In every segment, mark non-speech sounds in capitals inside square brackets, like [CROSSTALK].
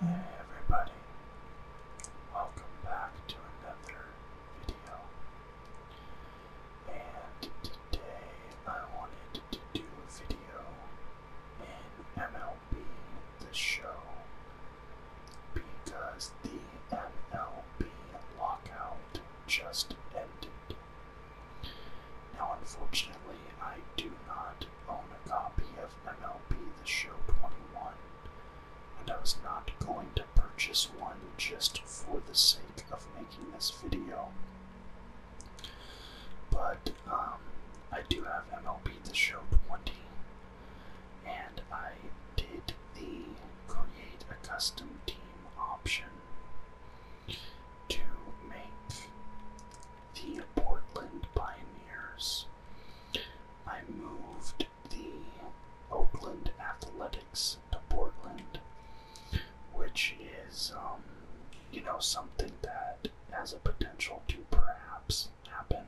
Hey everybody, welcome back to another video. And today I wanted to do a video in MLB The Show because the MLB lockout just ended. Now, unfortunately, I do not own a copy of MLB The Show 21, and I was not going to purchase one just for the sake of making this video. But um, I do have MLB The Show 20, and I did the create a custom team option to make the Portland Pioneers. I moved the Oakland Athletics to Portland, which is, um, you know, something that has a potential to perhaps happen.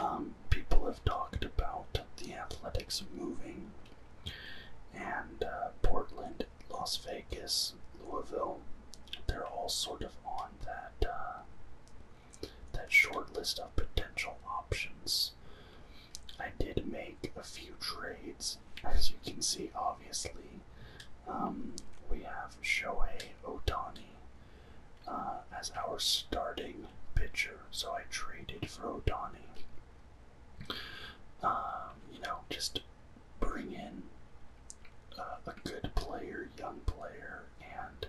Um, people have talked about the Athletics moving, and uh, Portland Las Vegas, Louisville. They're all sort of on that uh, that short list of potential options. I did make a few trades, as you can see. Obviously, um, we have Shohei Otani uh, as our starting pitcher, so I traded for Otani. Um, you know, just bring in uh, a good player, young player, and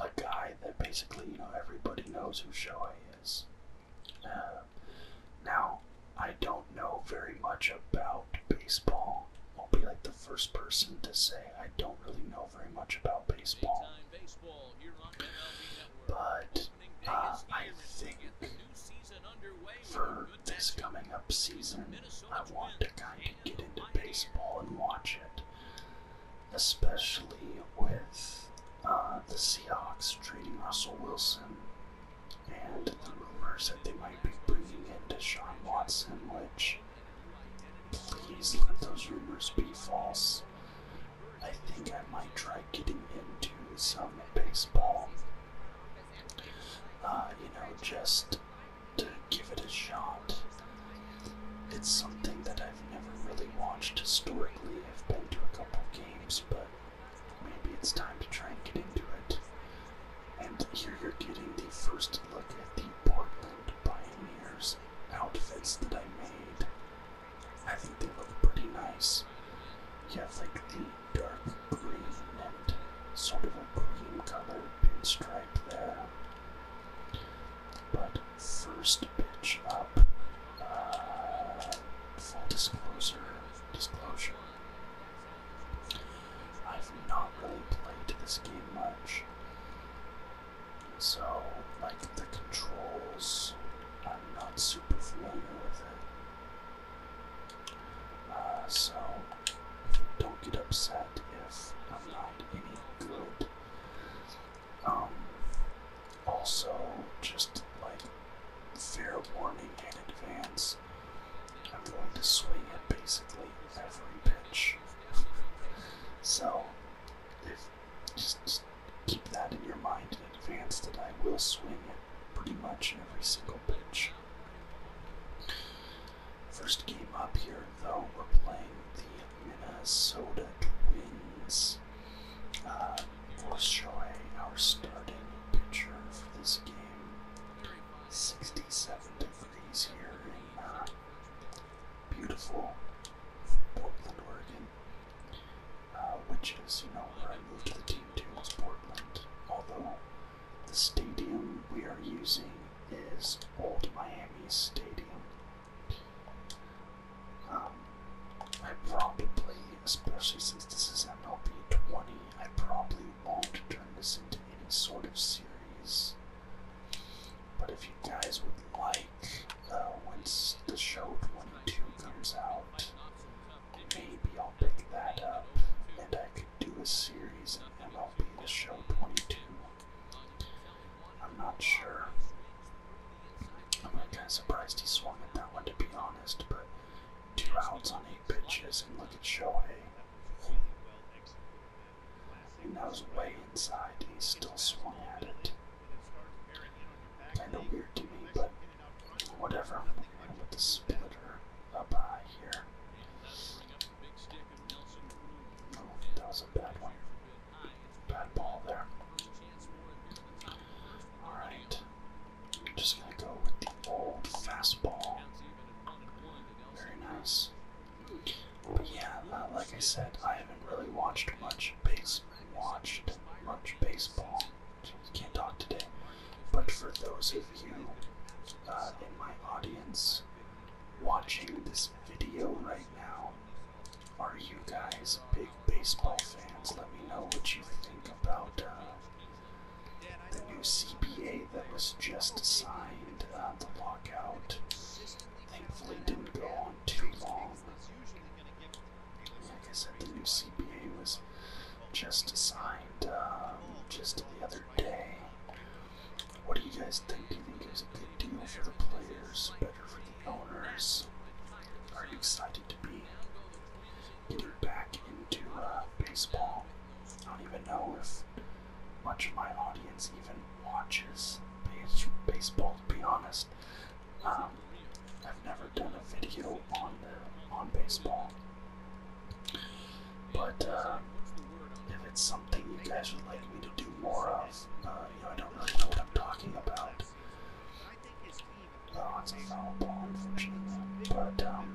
a guy that basically you know everybody knows who Shohei is. Uh, now I don't know very much about baseball. I'll be like the first person to say I don't really know very much about baseball. But uh, I think for with this coming up season, I want to kind of get into baseball and watch it, especially with uh, the Seahawks trading Russell Wilson and the rumors that they might be bringing in Deshaun Watson, which please let those rumors be false. I think I might try getting into some baseball. Uh, you know, just to give it a shot. It's something that I've never really watched historically. I've been to a couple games, but maybe it's time to try and get into it. And here you're getting the first look at the Portland Pioneers outfits that I made. I think they look pretty nice. You have like the dark green and sort of a green color pinstripe there. But first pitch up, uh, full disclosure, disclosure. I've not really played this game much, so like the controls, I'm not super familiar with it. Uh, so don't get upset if I'm not any good. Um, also, just like fair warning in advance, I'm going to swing at basically every pitch. so, if just, just keep that in your mind in advance that I will swing at pretty much every single First game up here, though, we're playing the Minnesota Twins. Uh, we'll show our starting pitcher for this game. 67 degrees here in uh, beautiful Portland, Oregon. Uh, which is, you know, where I moved the team to was Portland. Although the stadium we are using is Old Miami Stadium. Um, I probably, especially since this is MLB 20, I probably won't turn this into any sort of series. But if you guys would like, uh, once the show 22 comes out, maybe I'll i pick that up, um, and I could do a series of MLB to show 22. I'm not sure. I'm kind of surprised he swung at that one, to be honest, but two outs on eight pitches, and look at Shohei. And that was way inside, and he still swung at it. Kind of weird to me, but whatever. I'm going to put the splitter up high here. Oh, that was a bad one. Bad ball there. Alright. Just gonna go with the old fastball. Very nice. But yeah, uh, like I said, I haven't really watched much base watched much baseball. So can't talk today. But for those of you uh, in my audience watching this video right now, are you guys big baseball fans? Let me know what you think about uh, the new CBA that was just signed. Uh, the lockout thankfully didn't go on too long. Like I said, the new CBA was just signed um, just the other what do you guys think? Do you think it's a good deal for the players, better for the owners? Are you excited to be getting back into uh, baseball? I don't even know if much of my audience even watches baseball. To be honest, um, I've never done a video on the, on baseball. But uh, if it's something you guys would like me to do more of, uh, you know, I don't really know what I'm talking about. Oh, it's a foul ball, unfortunately. But um,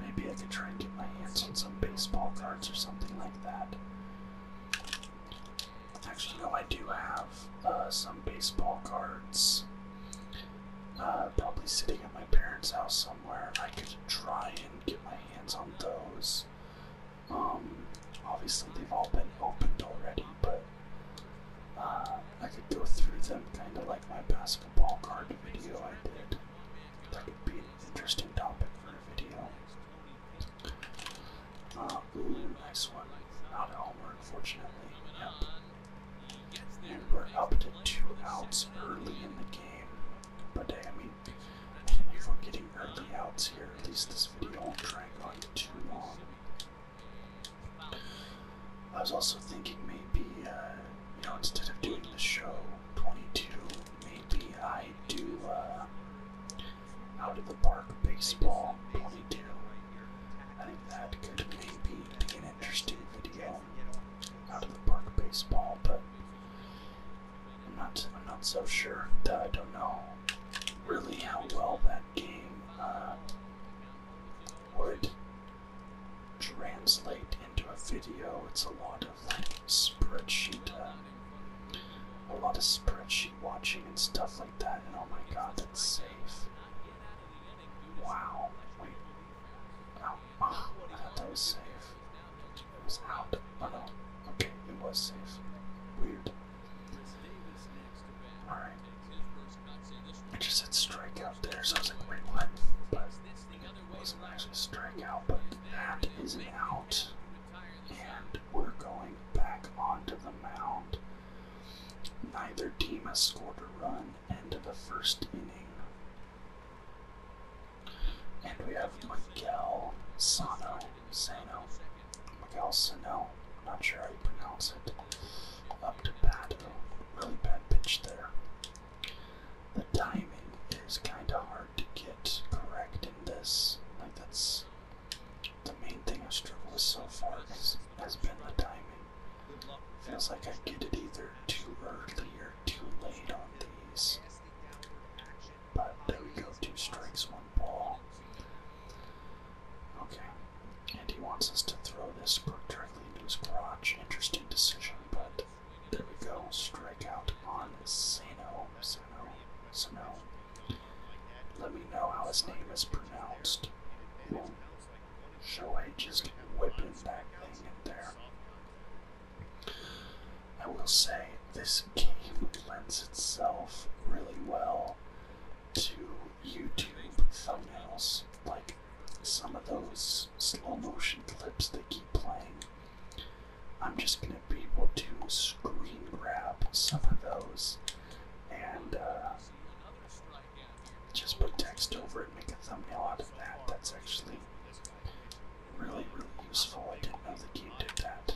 maybe I could try and get my hands on some baseball cards or something like that. Actually, no, I do have uh, some baseball cards. Uh, probably sitting at my parents' house somewhere. I could try and get my hands on those. Um, obviously, they've all been opened already, but uh, I could go through them kind of like my basketball card video I did. That could be an interesting topic for a video. Uh, ooh, nice one. Not a homer, unfortunately. And we're up to two outs early in the game. But I mean, if we getting early outs here, at least this video won't drag on too long. I was also thinking maybe, uh, you know, instead of doing the show 22, maybe I do uh, out of the park baseball 22. I think that could maybe be an interesting video out of the park baseball, but I'm not I'm not so sure that I don't know really how well that game uh, would translate into a video. It's a lot of like spreadsheet, uh, a lot of spreadsheet watching and stuff like that. And oh my god, that's safe! Wow, Ah, that was safe. It was out. Oh no. Okay, it was safe. Weird. Alright. I just said strike out there, so I was like, wait, what? But it wasn't actually strike out, but that is an out. And we're going back onto the mound. Neither team has scored a run into the first inning. And we have Miguel Sano, Sano, Miguel Sano, not sure how you pronounce it, up to bat, really bad pitch there. The timing is kind of hard to get correct in this, like that's the main thing I've struggled with so far has, has been the timing. Feels like I get it either too early or too late on these. But there we go, two strikes, one ball. Okay, and he wants us to throw this directly into his garage. Interesting decision, but there we go. Strike out on Sano. Sano. Sano. Let me know how his name is pronounced. We'll Shohei just whipping that thing in there. I will say this game lends itself really well to YouTube thumbnails. Like some of those slow motion clips they keep playing. I'm just going to be able to screen grab some of those and uh, just put text over it make a thumbnail out of that. That's actually really, really useful. I didn't know the game did that.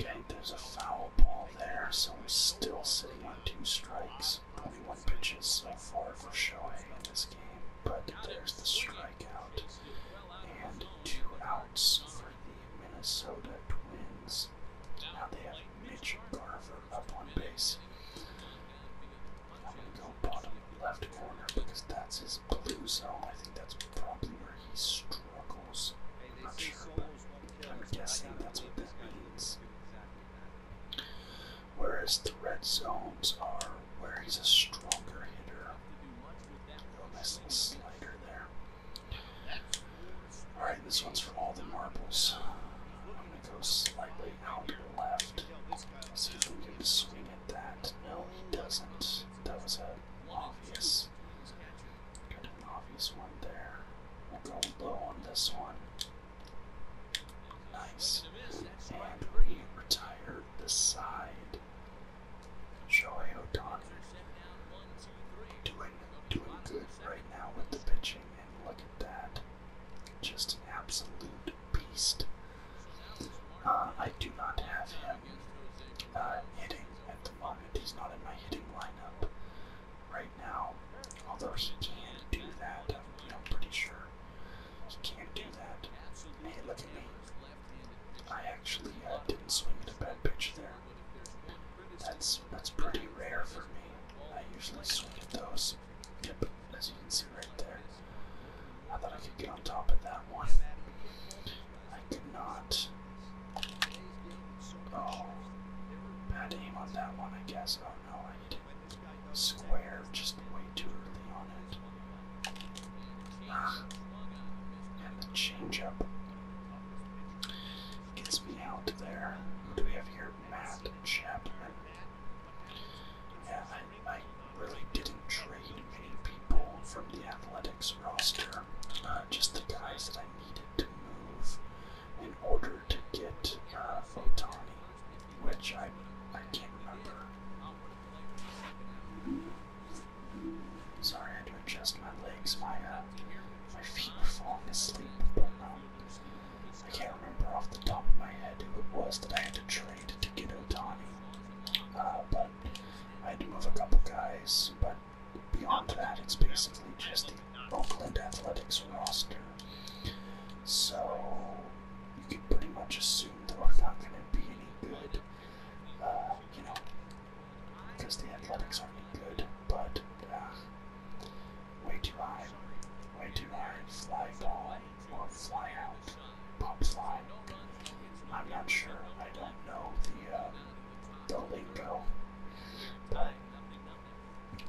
Okay, there's a foul ball there, so we're still sitting on two strikes. 21 pitches so far for Shohei in this game, but there's the strikeout. And two outs for the Minnesota Twins. Now they have Mitch Garver up on base. I'm gonna go bottom left corner because that's his blue zone. I think that's probably where he struggles. I'm guessing that's what that means. Whereas the red zones are where he's a stronger hitter. Oh, nice slider there. Alright, this one's for all the marbles go slightly out left. See if we can swing at that. No, he doesn't. That was an obvious, kind an obvious one there. go low on this one. Nice. And we retired the side. Shohei Otani doing, doing good right now with the pitching look at that. Just an absolute beast. Uh, I do not have him uh, hitting at the moment. He's not in my hitting lineup right now. Although he can do that, I'm, pretty sure he can not do that. Hey, look at me. I actually uh, didn't swing at a bad pitch there. That's that's pretty rare for me. I usually swing at those yep, as you can see right there. I thought I could get on top of that one. I could not. Oh, bad aim on that one, I guess. Oh no, I hit square just way too early on it. Ah, and the changeup gets me out there. do we have here? Matt Chapman. Yeah, I, really didn't trade many people from the athletics roster, Not uh, just the guys that I needed to move in order to get uh, Otani, which I, I can't remember. Sorry, I had to adjust my legs. My uh, my feet were falling asleep. But, um, I can't remember off the top of my head who it was that I had to trade to get Otani, uh, but I had to move a couple guys. But beyond that, it's basically just the Oakland Athletics roster. So you can pretty much assume that we are not going to be any good, uh, you know, because the Athletics aren't good. But uh, Way too high. Way too high. Fly ball or fly out. Pop fly. I'm not sure. I don't know the uh, the lingo.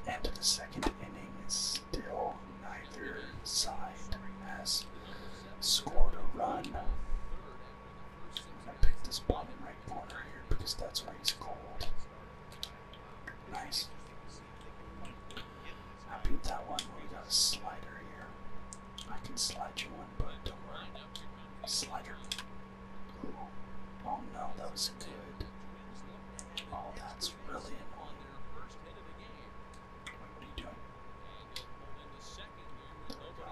end of the second inning is still neither side has scored a run. I'm gonna pick this bottom right corner here because that's where he's cold. Nice. I beat that one, but we got a slider here. I can slide you one, but don't worry. Slider. Oh no, that was good. Oh, that's really annoying. Wait, what are you doing? There we go.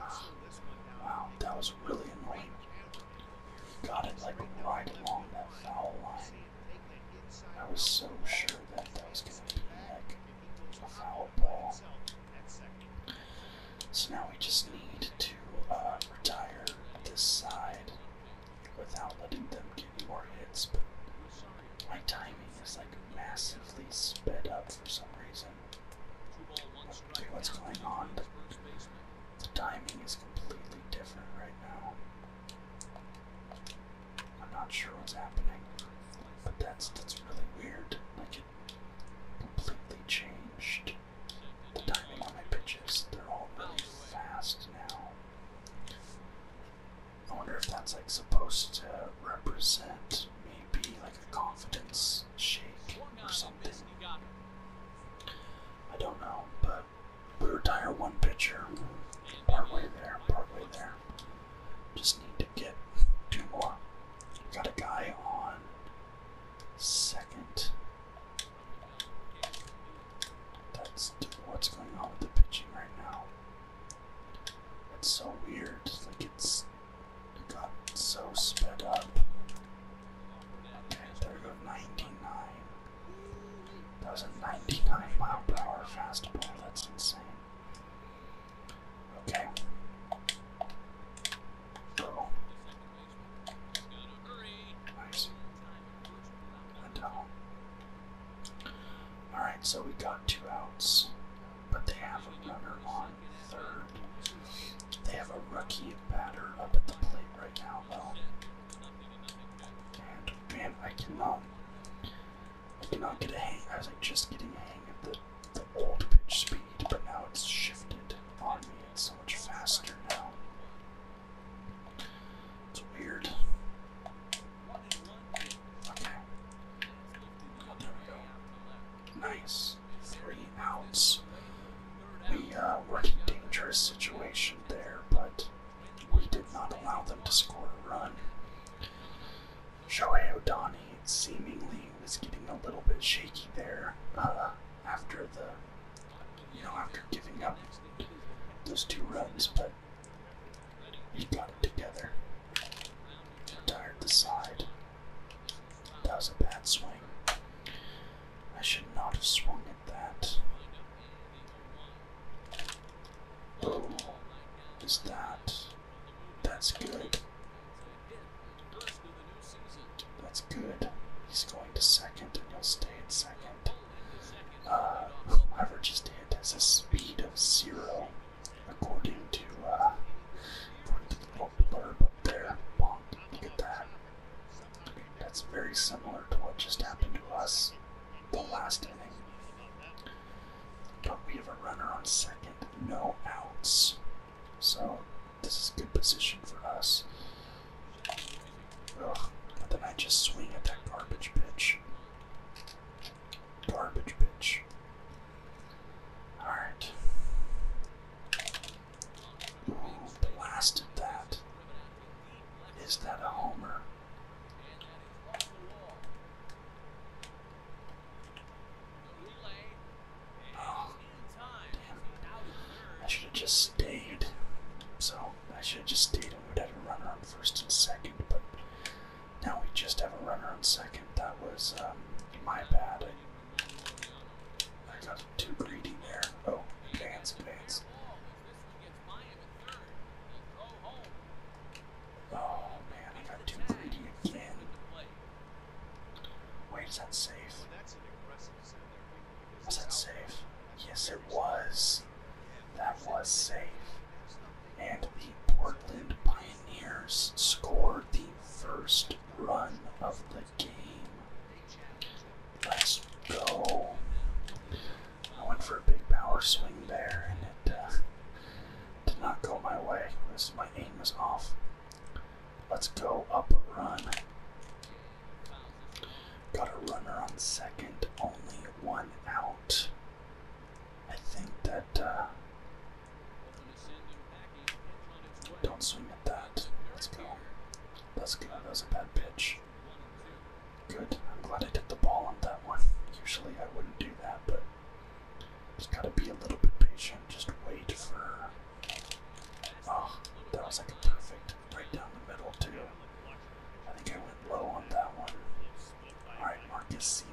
Ah, wow, that was really annoying. Got it like right along that foul line. I was so sure that that was going to be like a foul ball. So now we just need to uh, retire this side without letting them get any more hits. But my timing is like massively sped up for some reason. What's going on? The timing is completely different right now. I'm not sure what's happening, but that's that's really weird. Like it completely changed the timing on my pitches. They're all really fast now. I wonder if that's like supposed to represent maybe like a confidence shake or something. I don't know, but we retire one pitcher partway there, partway there. Just need to get two more. Got a guy on second. That's what's going on with the pitching right now. It's so weird. Like it's it got so sped up. There go, 99. That was a 99 mile per hour fastball. That's insane. Okay. Oh. Nice. Alright, so we got two outs, but they have a runner on third. They have a rookie batter up at the plate right now, though. And man, I cannot, I cannot get a hang. I was like just getting a hang of the, the old pitch speed, but now it's shifted on me. It's so much faster now. It's weird. Okay. Nice three outs. We uh, were in a dangerous situation there, but we did not allow them to score a run. Shohei Otani seemingly was getting a little bit shaky there uh, after the, you know, after giving up those two runs, but he got it together. Retired the side. That was a bad swing. I should not have swung at that. Oh, is that? That's good. That's good. He's going to second, and he'll stay at second. Uh, whoever just hit has a speed of zero, according to uh, the little there. look at that. That's very similar to what just happened to us the last inning. But we have a runner on second, no outs. So this is good position for us. then I just swing at that garbage pitch. Garbage pitch. Alright blasted that. Is that a homer? Oh, damn. I should have just stayed. So, I should have just stayed and would have a runner on first and second, but now we just have a runner on second. That was um, my bad. I got too greedy there. Oh, advance, advance. Oh man, I got too greedy again. Wait, is that safe? Was that safe? Yes, it was. That was safe. And the Portland Pioneers scored the first run of the Let's go. I went for a big power swing there, and it uh, did not go my way. This, my aim was off. Let's go up a run. Got a runner on second, only one out. I think that uh, don't swing at that. Let's go. That's good. That was a bad pitch. Good. I'm glad I hit the ball on that one. Usually I wouldn't do that, but just gotta be a little bit patient. Just wait for. Oh, that was like a perfect break down the middle, too. I think I went low on that one. Alright, Marcus Simeon.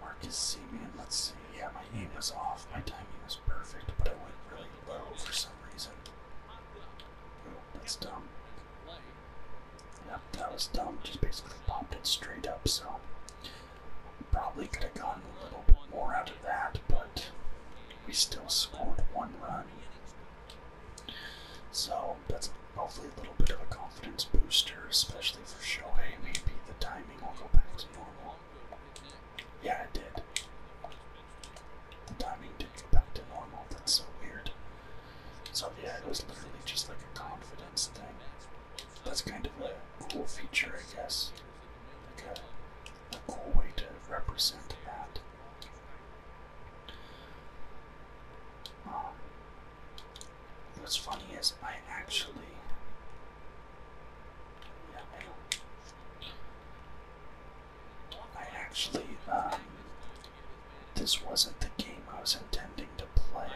Mark Marcus Simeon, let's see. Yeah, my aim was off. My timing was perfect, but it went really low for some reason. that's dumb. Yeah, that was dumb. Just basically popped it straight up, so probably could have gotten a little bit more out of that, but we still scored one run. So that's hopefully a little bit of a confidence booster, especially for Shohei. Maybe the timing will go back to normal. Yeah, it did. The timing did go back to normal. That's so weird. So yeah, it was literally just like a confidence thing. That's kind of a cool feature, I guess. Like a, cool way to represent that. Um, what's funny is I actually I actually, uh, this wasn't the game I was intending to play.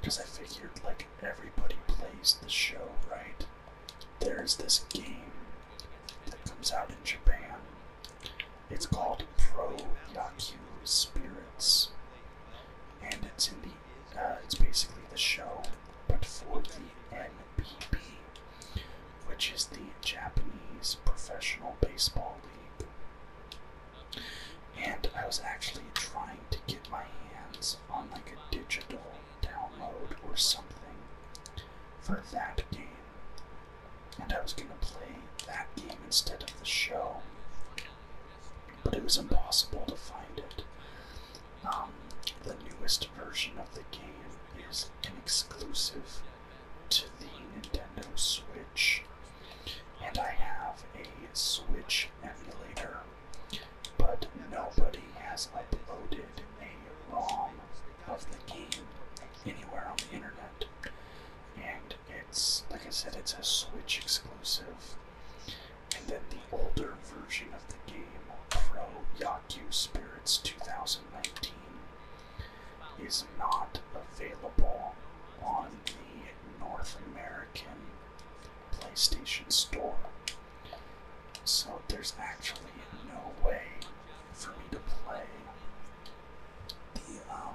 Because I figured, like, everybody plays the show, right? There's this game that comes out in Japan. It's called Pro Yaku Spirits. And it's in the uh, it's basically the show, but for the NPB, which is the Japanese Professional Baseball League. And I was actually trying to get my hands on like a digital download or something for that game. And I was gonna play that game instead of the show but it was impossible to find it. Um, the newest version of the game is an exclusive to the Nintendo Switch, and I have a Switch emulator, but nobody has uploaded a ROM of the game anywhere on the internet. And it's, like I said, it's a Switch exclusive and then the older version of the game, Pro Yaku Spirits 2019, is not available on the North American PlayStation Store. So there's actually no way for me to play the um,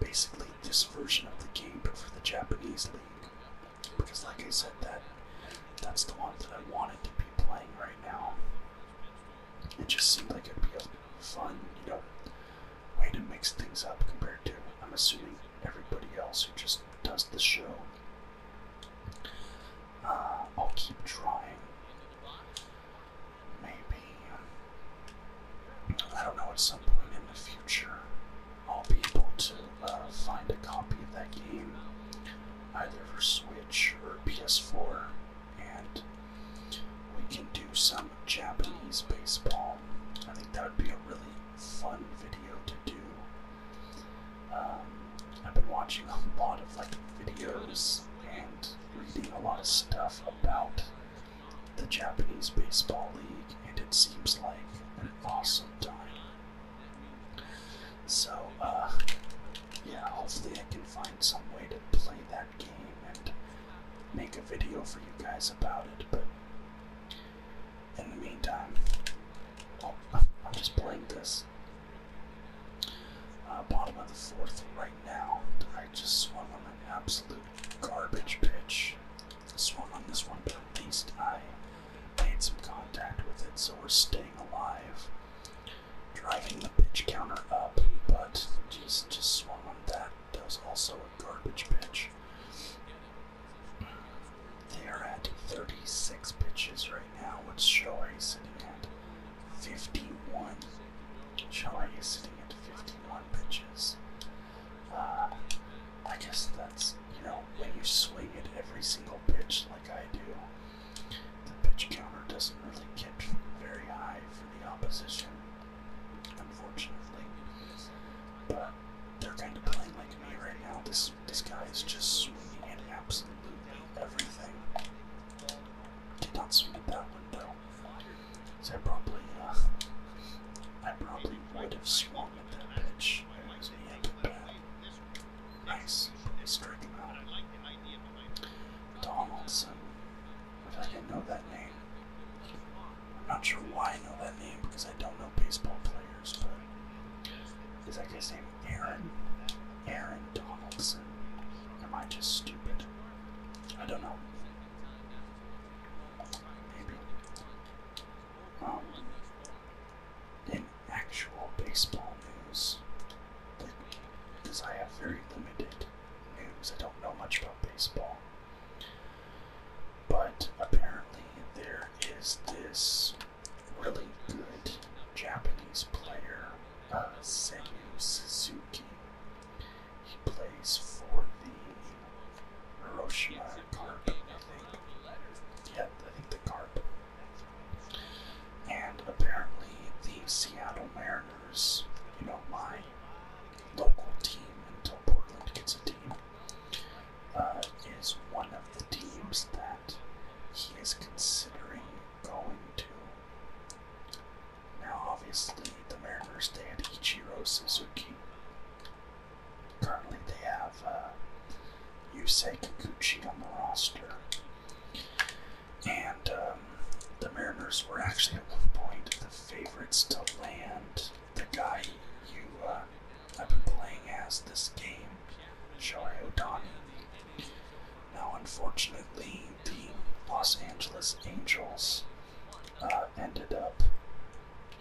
basically this version of the game for the Japanese league because, like I said, that that's the one that I wanted to be playing right now. It just seemed like it'd be a fun, you know, way to mix things up compared to, I'm assuming, everybody else who just does the show. Uh, I'll keep trying. Maybe. I don't know, at some point in the future, I'll be able to uh, find a copy of that game either for Switch or PS4, and we can do some Japanese baseball. I think that would be a really fun video to do. Um, I've been watching a lot of like videos and reading a lot of stuff about the Japanese Baseball League, and it seems like an awesome time so, uh, yeah, hopefully I can find some way to play that game and make a video for you guys about it, but in the meantime, oh, I'm just playing this. Uh, bottom of the fourth right now. I just swung on an absolute garbage pitch this one on this one, but at least I made some contact with it, so we're staying alive. Driving the pitch counter up, but just just swung on that. That was also a garbage bitch. They are at 36 pitches right now, What's Shohei sitting at 51. Shohei is sitting at 51 pitches. Uh, I guess that's, you know, when you swing at every single pitch like I do, the pitch counter doesn't really get very high for the opposition, unfortunately. But they're kind of playing like me right now. This, this guy is just swinging at absolutely everything. Did not swing at that window. So I probably, uh, I probably would have swung long into nice. Strike Donaldson. I didn't know that name. not sure why I know that name because I don't know baseball players, but is that guy's name Aaron? Aaron Donaldson. Am I just stupid? I don't know. Maybe. Um, in actual baseball news. Because I have very limited news, I don't know much about baseball. But apparently, there is this really good Japanese player, uh, Suzuki. He plays for the Hiroshima carp, I think. Yeah, I think the carp. And apparently, the Seattle Mariners, you know, my local team until Portland gets a team, uh, is one of the teams that he is considering going to. Now, obviously, the Mariners, they had Ichiro Suzuki. Currently, they have uh, Yusei Kikuchi on the roster. And um, the Mariners were actually at one point the favorites to land the guy you uh, have been playing as this game, Shohei Otani. Now, unfortunately, the Los Angeles Angels uh, ended up,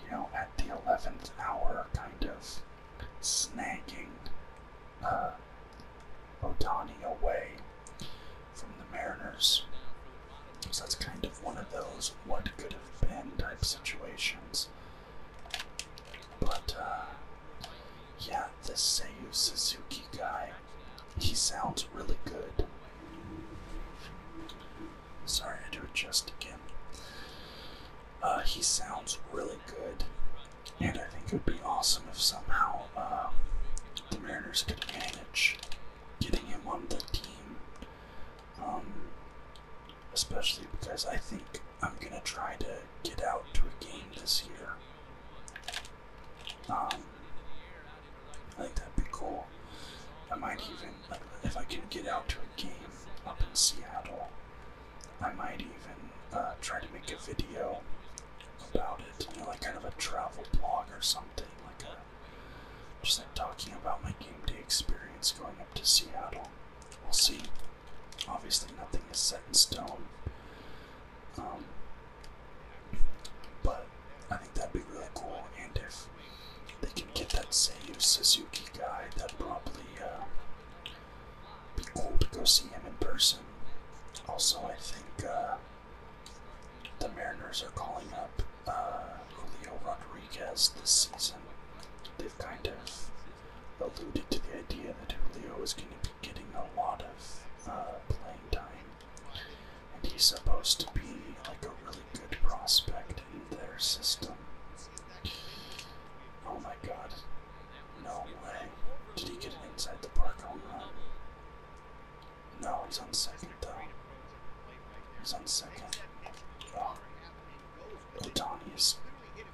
you know, the 11th hour, kind of snagging uh, Otani away from the Mariners. So that's kind of one of those what could have been type situations. But, uh, yeah, this Seiyu Suzuki guy, he sounds really good. Sorry, I do it just again. Uh, he sounds really good, and I think it would be awesome if somehow uh, the Mariners could manage getting him on the team. Um, especially because I think I'm gonna try to get out to a game this year. Um, I think that'd be cool. I might even if I can get out to a game up in Seattle, I might even uh, try to make a video about it, you know, like kind of a travel blog or something, like a just like talking about my game day experience going up to Seattle. We'll see. Obviously, nothing is set in stone. Um, but I think that'd be really cool, and if they can get that Seiyu Suzuki guy, that'd probably uh, be cool to go see him in person. Also, I think uh, the Mariners are calling up uh, Julio Rodriguez this season. They've kind of alluded to the idea that Julio is going to be getting a lot of playing time. And he's supposed to be like a really good prospect invade their system. Oh my god. No way. Did he get inside the park home run? No, he's on second though. He's on second. Oh. is.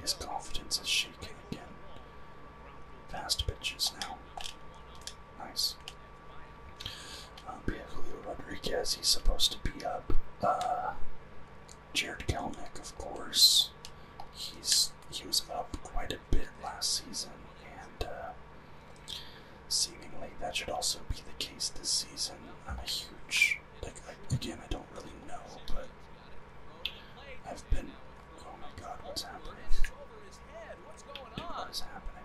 his confidence is shaking again. Fast pitches now. Nice. Um, yeah, Julio Rodriguez, he's supposed to be up. Uh, Jared Kelnick, of course, he's he was up quite a bit last season, and uh, seemingly that should also be the case this season. I'm a huge like again I don't really know, but I've been. Oh my God, what's happening? What is happening?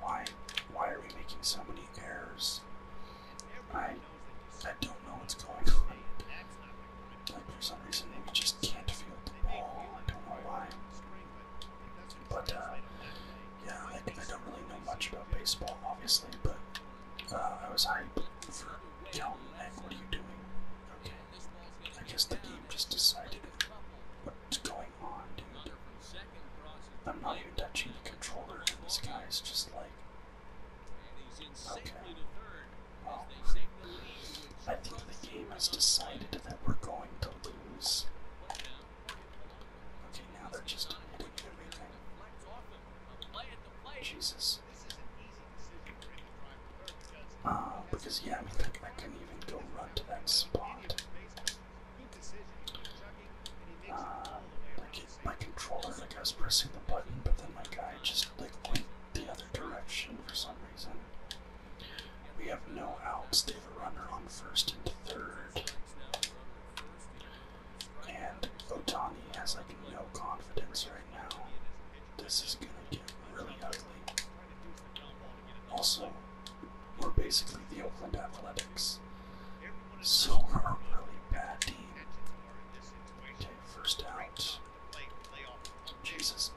why why are we making so many errors? I I don't know what's going on. Like for some reason we just can't field the ball. I don't know why. But uh, yeah, I, don't really know much about baseball obviously, but uh, I was hyped for Calvin Egg, what are you doing? Okay. I guess the game just decided what's going I'm not even touching the controller, this guy is just like. Okay. Well, I think the game has decided that we're going to lose. Okay, now they're just Jesus. Uh, because yeah, I mean, I, I not even go run to that spot. Uh, I get my controller like I was pressing the button, but then my guy just like went the other direction for some reason. We have no outs. They have a runner on first and third. And Otani has like no confidence right now. This is gonna get really ugly. Also, were basically the Oakland Athletics. So we're a really bad team. Okay, first out. Jesus.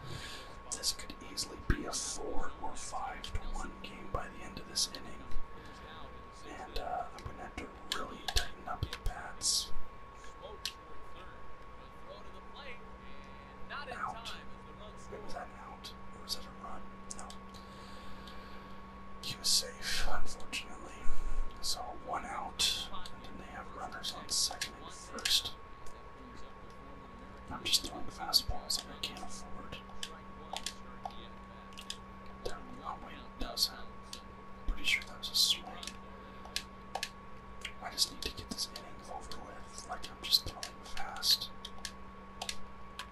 This could easily be a four or five to one game by the end of this inning. And uh, I'm gonna have to really tighten up the bats. Out. was that an out? was that a run? No he was safe, unfortunately. So one out, and they have runners on second and first. I'm just throwing fastballs that I can't afford. There, oh wait, that was a, pretty sure that was a swing. I just need to get this inning over with, like I'm just throwing fast.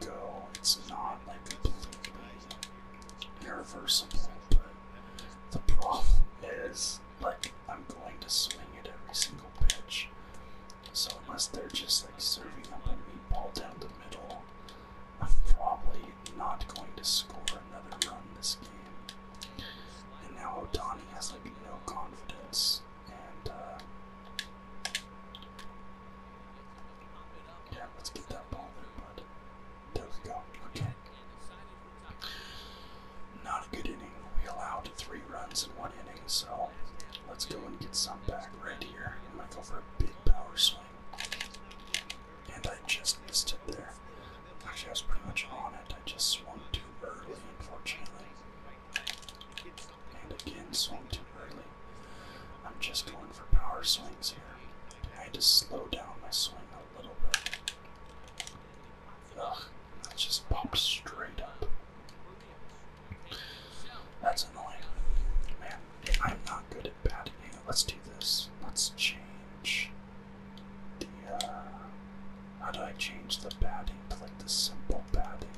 go. It's not like completely irreversible, but the problem is like I'm going to swing at every single pitch. So unless they're just like serving up a meatball down the middle, I'm probably not going to score another run this game. And now Otani has like no confidence, and uh, yeah, let's get that ball there, bud. There we go. Okay. Not a good inning. We allowed three runs in one inning, so let's go and get some back right here. I'm gonna go for a big power swing. And I just missed it there. Actually, I was pretty much on it. I just swung too early, unfortunately and again swung too early. I'm just going for power swings here. I had to slow down my swing a little bit. Ugh, that just popped straight up. That's annoying. Man, I'm not good at batting. Let's do this. Let's change the, uh, how do I change the batting to like the simple batting?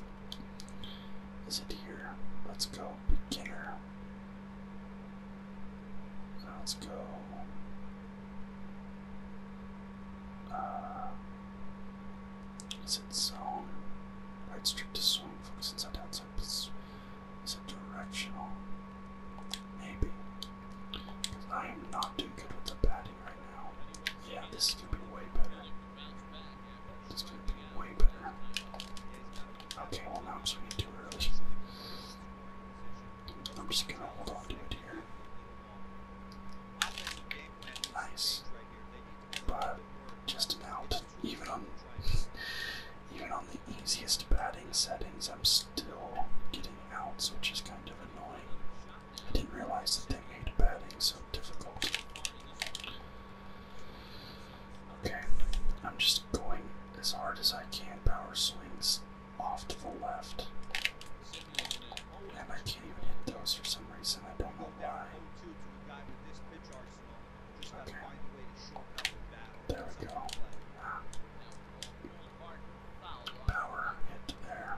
Is it here? Let's go beginner. Let's go. Uh, is it zone? Right strip to swing, focus inside outside. Is it directional? Maybe. Because I am not doing good with the batting right now. Yeah, this is going to be way better. This could be way better. Okay, well now I'm swinging too early. I'm just gonna hold on to it here. Nice, but just an out. Even on, [LAUGHS] even on the easiest batting settings, I'm still getting outs, which is kind of annoying. I didn't realize that they made batting so difficult. Okay, I'm just going as hard as I can. Power swings off to the left. And I can't even hit those for some reason. I don't know why. Okay. There we go. Ah. Power hit there.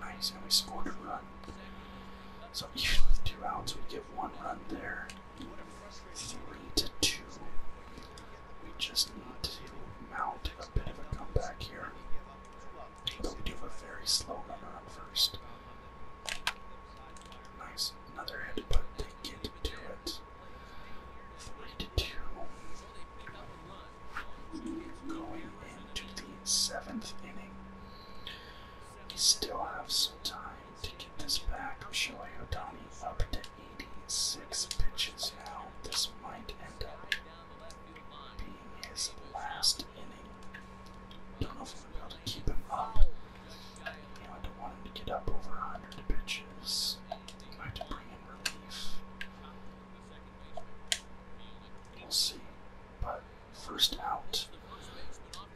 Nice, and we scored a run. So even two outs, we give one run there. Three to two. We just need to mount a bit of a comeback here. But do a very slow runner first. Nice, another hit, but they get to it. Three to two. Going into the seventh inning. We still have some time to get this back. Shohei Otani up to 86 pitches now. This might end up being his last inning. Don't know if I'm able to keep him up. You know, to get up over 100 pitches. might have to bring We'll see. But first out.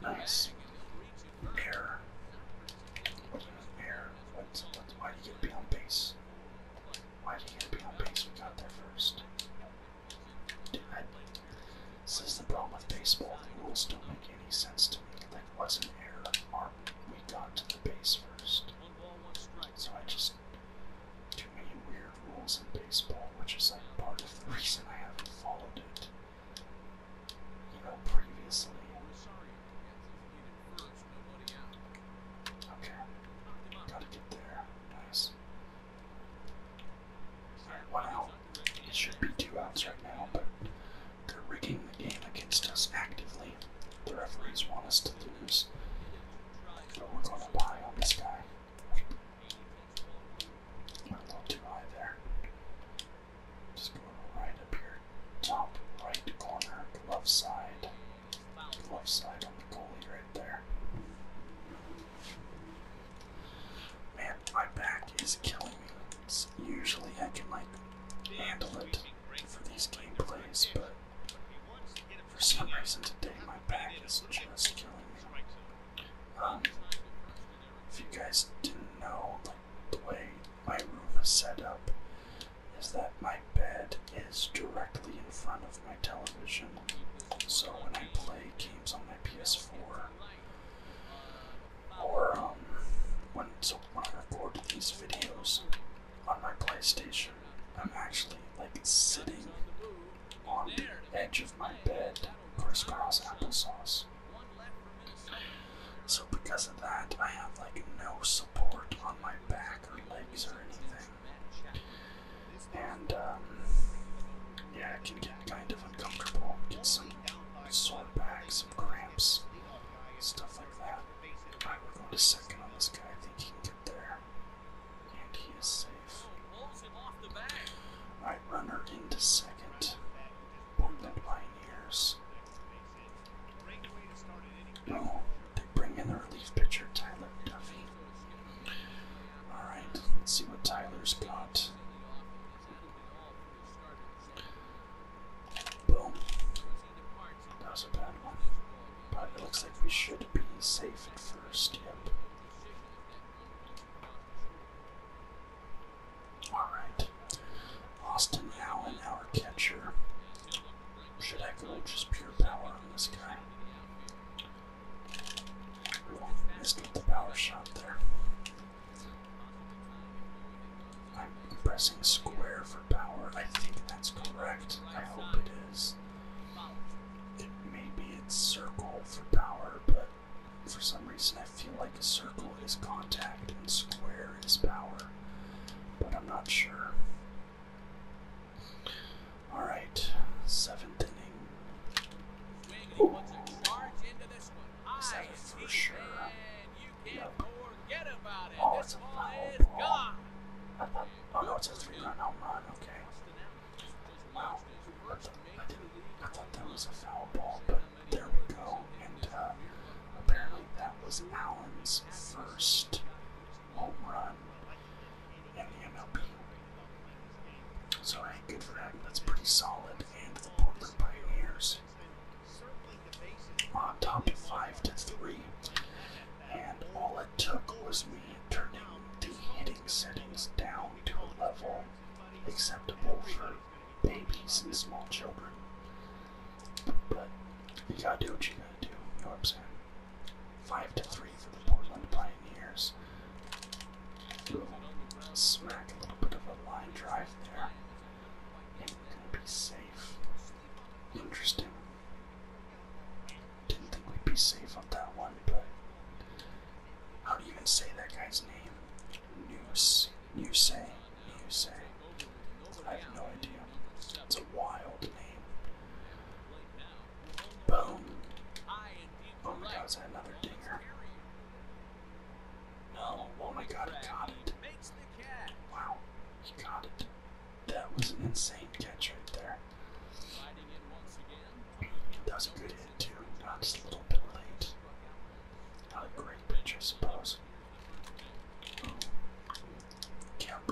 Nice. Air. Air. why do you get to on base? Why do you get to on base? We got there first. Dude, this is the problem with baseball. The rules don't make any sense to me. Like, what's an error? Our, we got to the base first. So I just too many weird rules in baseball, which is like part of the reason I haven't followed it. previously. Okay. Gotta get there. Nice. one out. It should be two outs right now, they're rigging the game against us actively. The referees want us to lose. we're going to buy on this guy. a little too high there. Just go right up here. Top right corner, glove side. Glove side on the goalie right there. Man, my back is killing me. usually I can like handle it for these gameplays, but for some reason today my back is just killing me. Um, if you guys didn't know, the way my room is set up, is that my bed is directly in front of my television. So when I play games on my PS4, or um, when so when I record these videos, on my PlayStation. I'm actually like sitting on the edge of my bed, crisscross applesauce. So because of that, I have like no support on my back or legs or anything. And um, yeah, it can get kind of uncomfortable. Get some sore back, some cramps, stuff like that. Alright, we're to second on this guy. I there. And he is safe. Alright, runner into second. Portland Pioneers. No, they bring in the relief pitcher, Tyler Duffy. Alright, let's see what Tyler's got. Boom. That was a bad one. But it looks like we should be safe at first, yep. Alright. Austin Allen, our catcher. Should I go just pure power on this guy? Ooh, missed with the power shot there. I'm pressing square for power. I think that's correct. I hope it is. It, may be it's circle for power, but for some reason I feel like a circle is contact and square is power. But I'm not sure. Alright, seventh inning. Is that for sure? Oh, it's ball a is gone. Oh it's a three-run home run. Okay. I thought, that was a foul ball, but there we go. And uh, apparently that was Allen's first home run in the MLB. So good for that. That's pretty solid. And the Portland Pioneers on uh, top of five to three. And all it took was me turning the hitting settings down to a level acceptable for babies and small children. But you gotta do what you gotta do, you know what I'm saying? Five to three for the Portland Pioneers. Smack a little bit of a line drive there. And we're gonna be safe. Interesting. Didn't think we'd be safe on that one, but how do you even say that guy's name? Noose. Noose. Noose. I have no idea. It's a wild name. Boom. Oh my god, is that another dinger? No, oh my god, I got it. Wow, he got it. That was an insane catch right there. That was a good hit too. that's a little bit late. Not a great pitch, I suppose. Camp,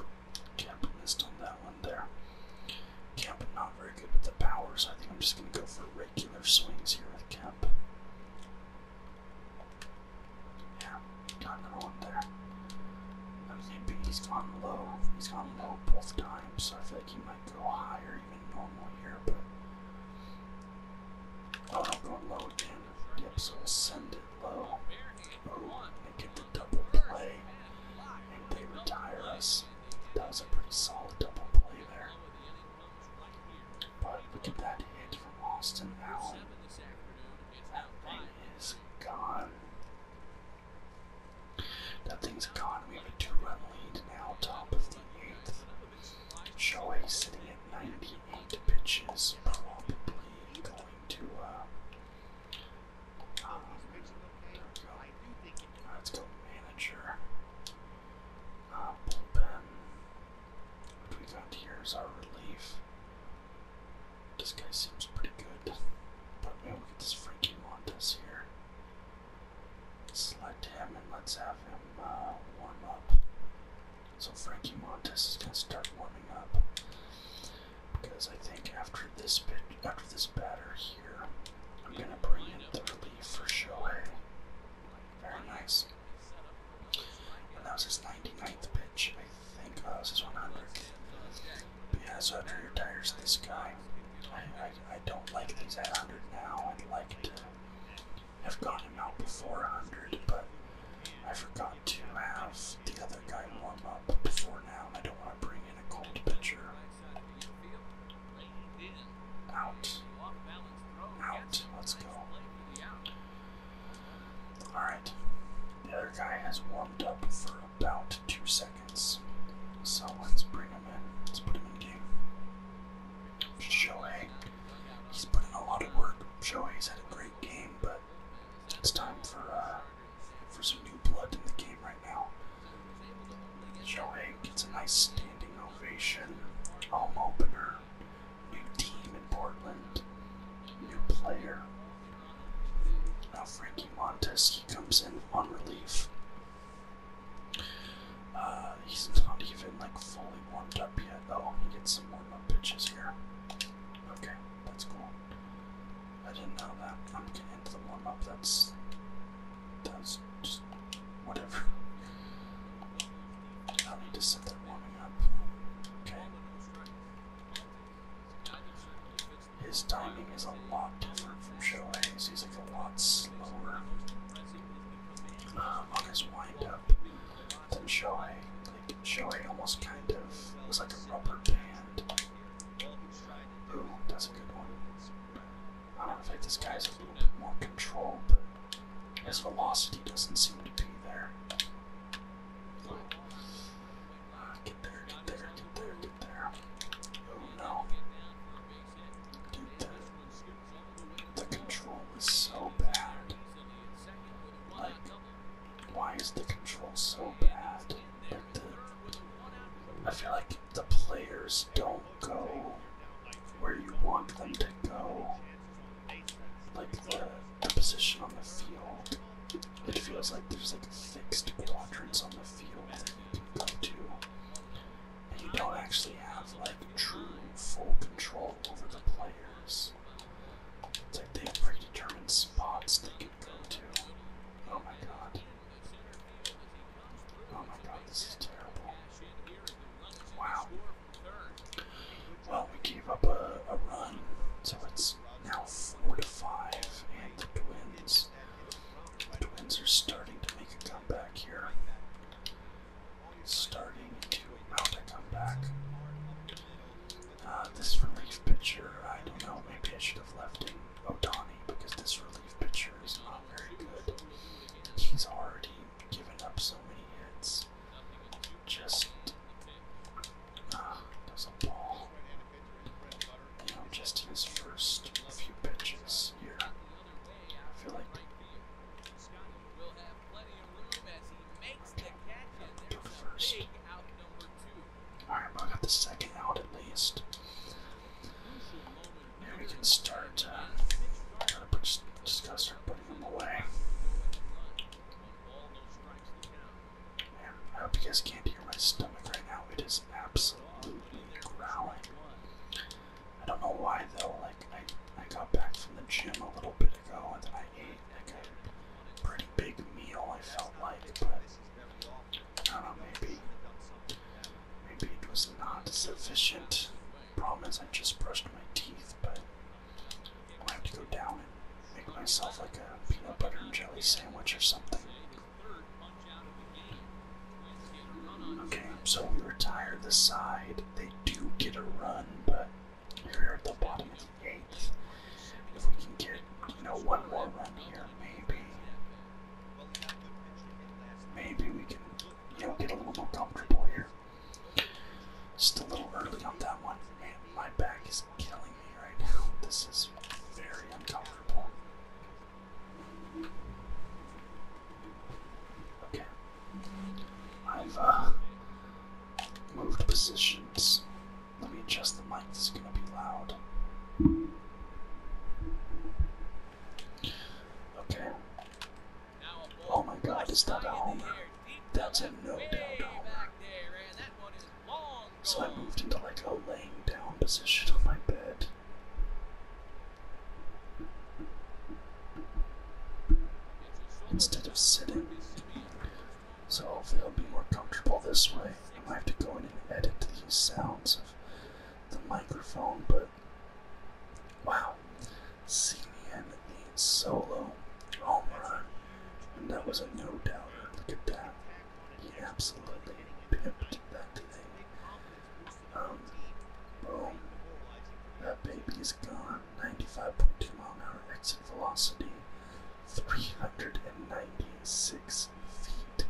Camp missed on that one there. Camp not very good with the powers. I think I'm just gonna go for regular swings here with Camp. Yeah, got another one there. Okay, he's gone low. He's gone low both times, so I feel like he might go higher even normal here, but Oh, I'm going low again. Dip, so I'll send it low. Oh, they get the double play. they retire us. That was a pretty solid double play there. But look at that hit from Austin Allen. That is gone. That has gone. We have a two-run lead now, top of the eighth. Shohei sitting at 98 pitches, probably going to, uh, go. Uh, right, let's go manager. Uh, bullpen. What we got our relief. This guy seems pretty good. But we will get this Frankie Montes here. Select him and let's have him uh, warm up. So Frankie Montes is gonna start warming up because I think after this bit, after this batter here, I'm gonna bring in the relief for Shohei. Very nice that was his 99th pitch, I think. Oh, that was his 100th. But yeah, so after he retires this guy, I, I, don't like these at 100 now. I'd like to have gone him out before 100, but I forgot to have the other guy warm up before now. I don't want to bring in a cold pitcher. Out. Out. Let's go. Alright, the other guy has warmed up for about two seconds, so let's bring him in. Let's put him in game. Shohei, he's putting a lot of work. Shohei's had a great game, but it's time for uh, for some new blood in the game right now. Shohei gets a nice standing ovation, home opener. New team in Portland. New player. Now Frankie Montes, he comes in on relief. Uh, he's not even like fully warmed up yet. Oh, he gets some warm up pitches here. Okay, that's cool. I didn't know that. I'm getting into the warm up. That's that's just whatever. [LAUGHS] I need to sit there warming up. Okay. His timing is a lot different from Shohei's. He's like a lot slower um, on his windup than Shohei. Like almost kind of was like a rubber band. Ooh, that's a good one. I don't know if this guy's a little bit more control, but his velocity doesn't seem to be there get there, get there, get there, get there. Oh no. Dude, the control is so bad. Like, why is the control so bad? I feel like the players don't go where you want them to go the position on the field. It feels like there's like fixed quadrants on the field that you and you don't actually have like true full control over the players. It's like they have predetermined spots they can go to. Oh my god. Oh my god, this is terrible. Wow. Well, we gave up a, run, so it's now four to five, and the Twins. The Twins are starting to make a comeback here. Starting to mount a comeback. Uh, this relief pitcher, I don't know, maybe I should have left in Otani because this relief pitcher is not very good. He's already given up so many hits just does uh, a ball. You know, just in his first few pitches here. I feel like okay, first. Alright, but I got the second out at least. And we can start uh, just, just to start putting them away. I hope you guys can't hear my stomach right now. It is absolutely growling. I don't know why though. Like I, I got back from the gym a little bit ago, and then I ate like a pretty big meal. I felt like, but I don't know. Maybe, maybe it was not sufficient. Promise, I just brushed my teeth, but I'm gonna have to go down and make myself like a peanut butter and jelly sandwich or something. Okay, so we retire the side. They do get a run, but we at the bottom of the eighth. If we can get, you know, one more run here, maybe. Maybe we can, you know, get a little more comfortable here. Just a little early on that one. Man, my back is killing me right now. [LAUGHS] This is very uncomfortable. Okay. I've uh, moved positions. Let me adjust the mic. This is going to be loud. Okay. Oh my god, is that a homer? That's a no down homer. So I moved into like a laying down position on my bed. Instead of sitting. So if they will be more comfortable this way. I might have to go in and edit these sounds of the microphone, but wow. CDM needs solo home And that was a no doubt. Look at that. He absolutely pimped that today. Um, boom. That baby is gone. 95.2 mile an hour exit velocity. 396 feet.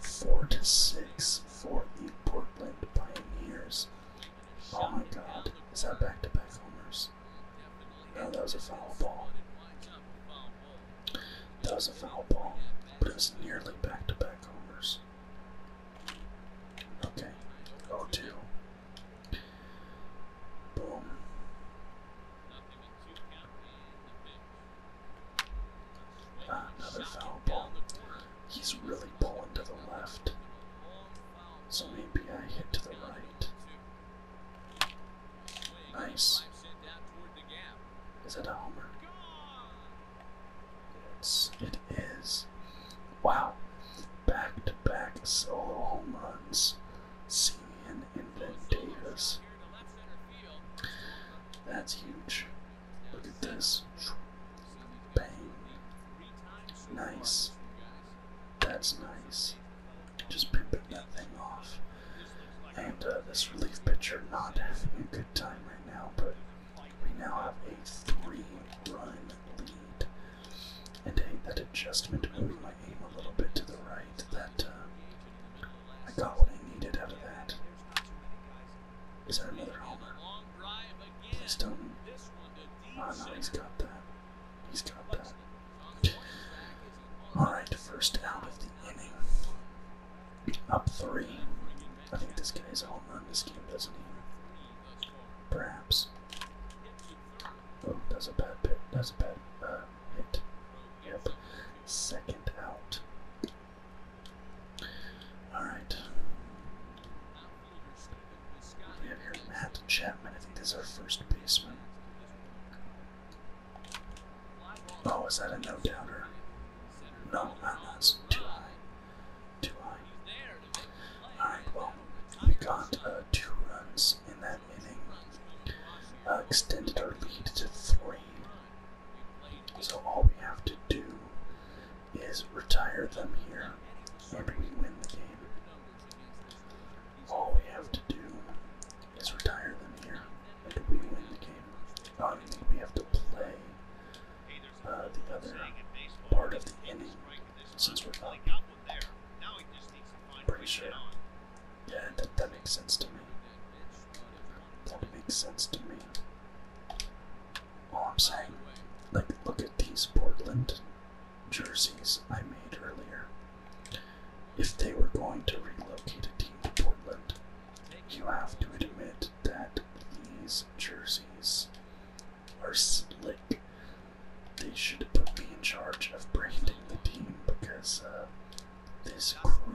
4 to 6 for the Portland Pioneers. Oh my god. Is that back to back homers? No, that was a foul ball. That was a foul ball, but it was nearly back to back homers. Okay, 0 2. Boom. Ah, another foul ball. He's really pulling to the left. So maybe I hit to the right. Nice. Is it a homer? Yes, it is. Wow. Back to back solo home runs. Simeon and then Davis. That's huge. Look at this. Bang. Nice. That's nice. Just pimping that thing off. And uh, this relief pitcher not having a good time right now, but we now have a three-run lead. And hey, that adjustment moving my aim a little bit to the right, that uh, I got what I needed out of that. Is that another homer? Please don't. Ah, he's got that. He's got that. Alright, first out of the inning. Up three. I think this guy's a home run this game, doesn't he? Perhaps. Oh, that's a bad pit. That's a bad uh, hit. Yep. Second out. Alright. We have here Matt Chapman. I think that's our first baseman. Oh, is that a no doubter? Uh, no, that's too high. Too high. Alright, well, we got uh, two runs in that inning. Uh, extended our lead to three. So all we have to do is retire them here and we win the game. All we have to do is retire them here, and we win the game. I don't think we have to play uh, the other part of the inning since we're up. Pretty sure. Yeah, that, that makes sense to me. That makes sense to me. All I'm saying, like, look at these Portland jerseys I made earlier. If they were going to relocate a team to Portland, you have to admit that these jerseys are slick. They should put me in charge of branding the team because uh, this green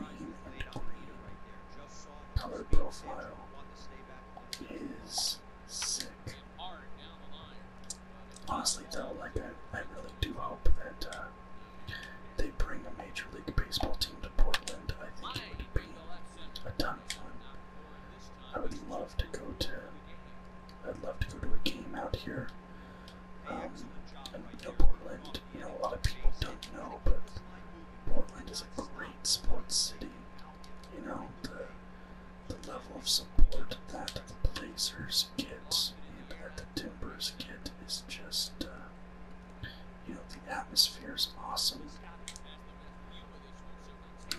color profile is Honestly, though, like I, I really do hope that uh, they bring a Major League Baseball team to Portland. I think it would be a ton of fun. I would love to go to. I'd love to go to a game out here. Um, and, you Portland. You know, a lot of people don't know, but Portland is a great sports city. You know, the level of support that the Blazers get and that the Timbers get is just, uh, you know, the atmosphere is awesome.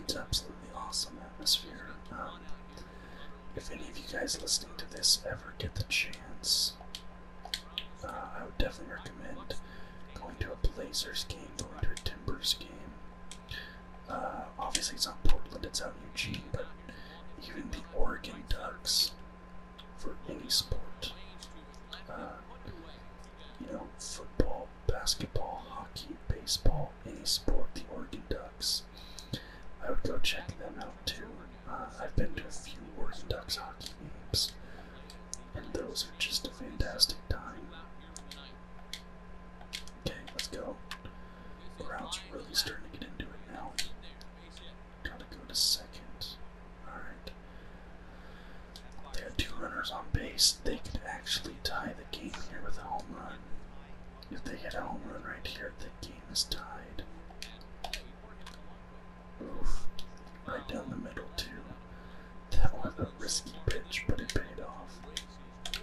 It's absolutely awesome atmosphere. Um, if any of you guys listening to this ever get the chance, uh, I would definitely recommend going to a Blazers game, going to a Timbers game. Uh, obviously, it's not Portland, it's out in Eugene, but even the Oregon Ducks for any sport. Uh, you know, football, basketball, hockey, baseball, any sport, the Oregon Ducks. I would go check them out too. Uh, I've been to a few Oregon Ducks hockey games, and those are just a fantastic time. Okay, let's go. Crowd's really starting to get into it now. Trying to go to second. Alright. They have two runners on base. They could actually tie the game here with a home run. If they hit a home run right here, the game is tied. Oof. Right down the middle, too. That was a risky pitch, but it paid off.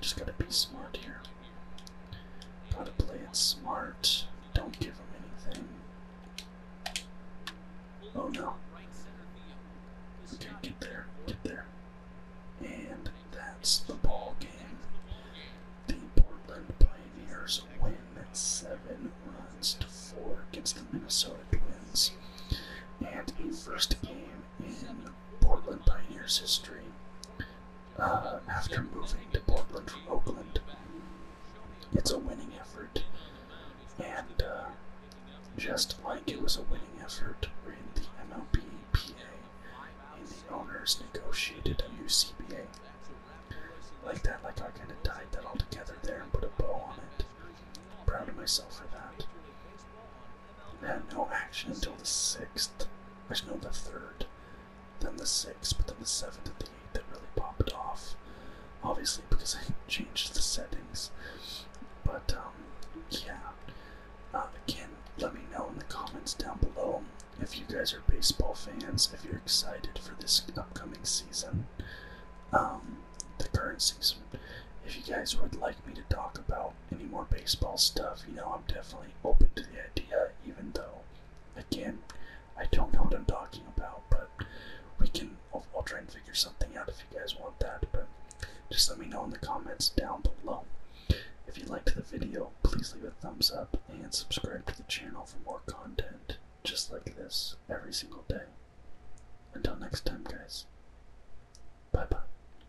Just gotta be smart here. Gotta play it smart. Don't give him anything. Oh no. Okay, get there, get there. And that's the ball game. The Portland Pioneers win seven runs to four against the Minnesota Twins. And a first game Portland Pioneers history. Uh, after moving to Portland from Oakland, it's a winning effort, and uh, just like it was a winning effort in the MLBPA, and the owners negotiated a new CBA like that. Like I kind of tied that all together there and put a bow on it. proud of myself for that had no action until the 6th. Actually, no, the 3rd. Then the 6th, but then the 7th and the 8th that really popped off. Obviously, because I [LAUGHS] changed the settings. But, um, yeah. Uh, again, let me know in the comments down below if you guys are baseball fans, if you're excited for this upcoming season, um, the current season. If you guys would like me to talk about any more baseball stuff. You know, I'm definitely open to the idea, even though, again, I don't know what I'm talking about. But we can, I'll, I'll try and figure something out if you guys want that. But just let me know in the comments down below. If you liked the video, please leave a thumbs up and subscribe to the channel for more content just like this every single day. Until next time, guys. Bye bye.